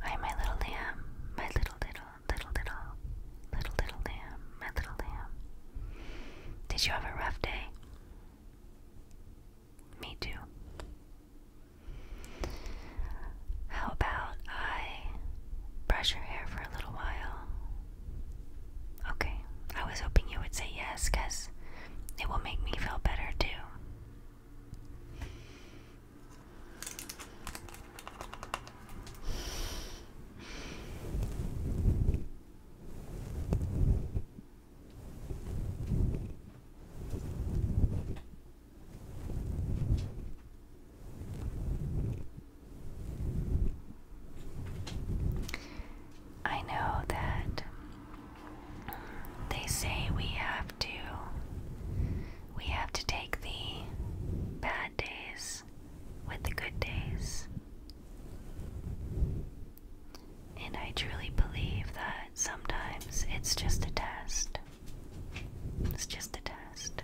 Hi, my little lamb, my little, little, little, little, little, little lamb, my little lamb. Did you have a rough day? Me too. How about I brush your hair for a little while? Okay, I was hoping you would say yes because it will make me feel better too. I know that they say we have to we have to take the bad days with the good days. And I truly believe that sometimes it's just a test. It's just a test.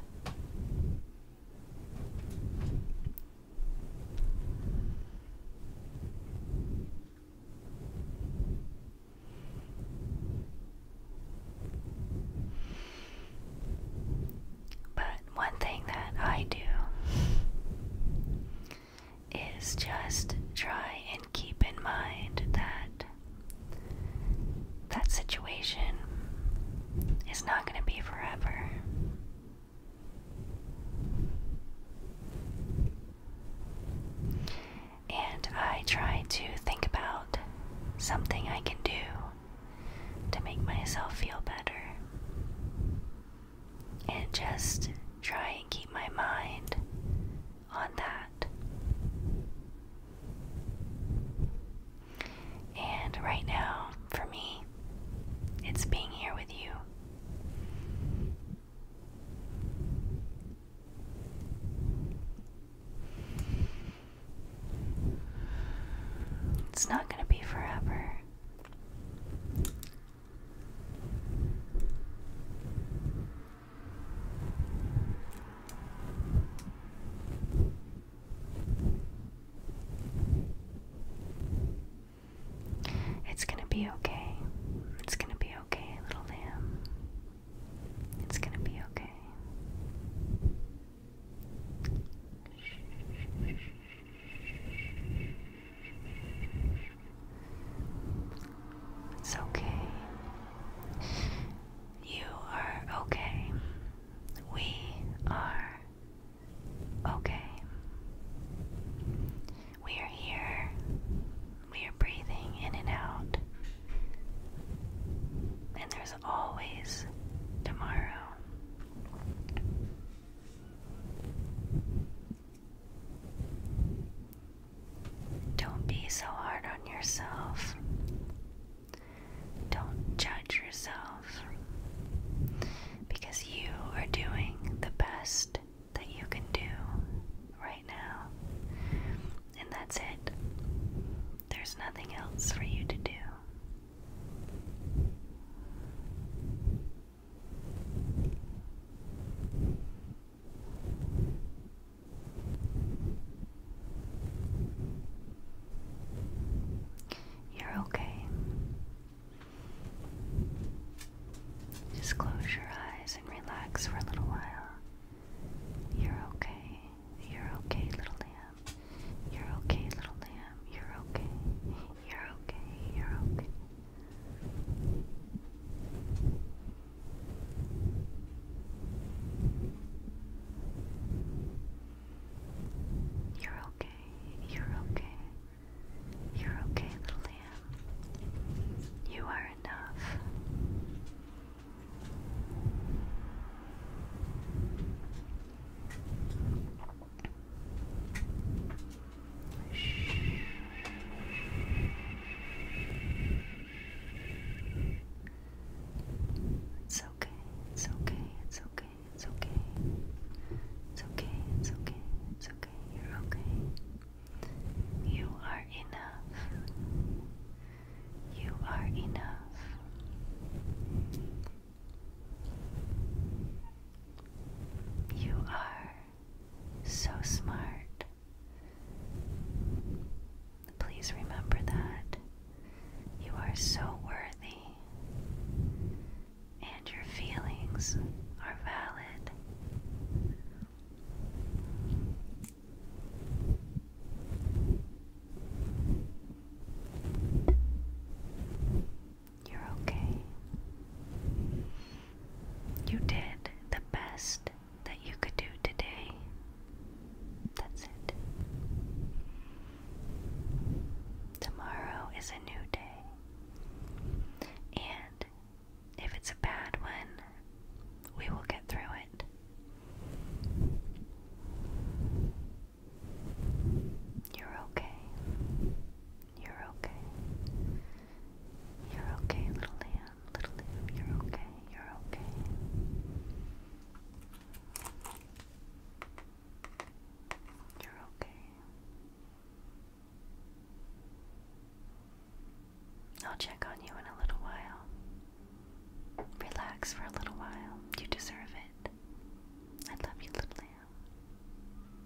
But one thing that I do is just try and keep in mind that that situation is not going to be forever. And I try to think about something I can do to make myself feel better. And just try and keep my mind on that. And right now, for me, it's being here with you. It's not going to be forever. It's gonna be okay. It's gonna be okay, little lamb. It's gonna be okay. It's okay. You are okay. We are okay. We are here. We are breathing in and out. And there's always tomorrow. Don't be so hard on yourself. Don't judge yourself because you are doing the best that you can do right now. And that's it. There's nothing else for you to do. You're okay. Just close your eyes and relax for a little while. You're okay. You're okay, little lamb. You're okay, little lamb. You're okay. You're okay. You're okay. You're okay. You're okay. You're okay, little lamb. You are enough. Shh. It's okay, it's okay, it's okay, it's okay. It's okay, it's okay, it's okay, you're okay. You are enough. You are enough. You are so smart. Please remember that you are so worthy and your feelings are valid. You're okay. You did the best that you could do today. That's it. Tomorrow is a new day. And if it's a bad one, we will get through it. You're okay. You're okay. You're okay, little lamb. Little lamb, you're okay. You're okay. You're okay. I'll check on you in a little while. Relax for a little while. You deserve it. I love you, little lamb.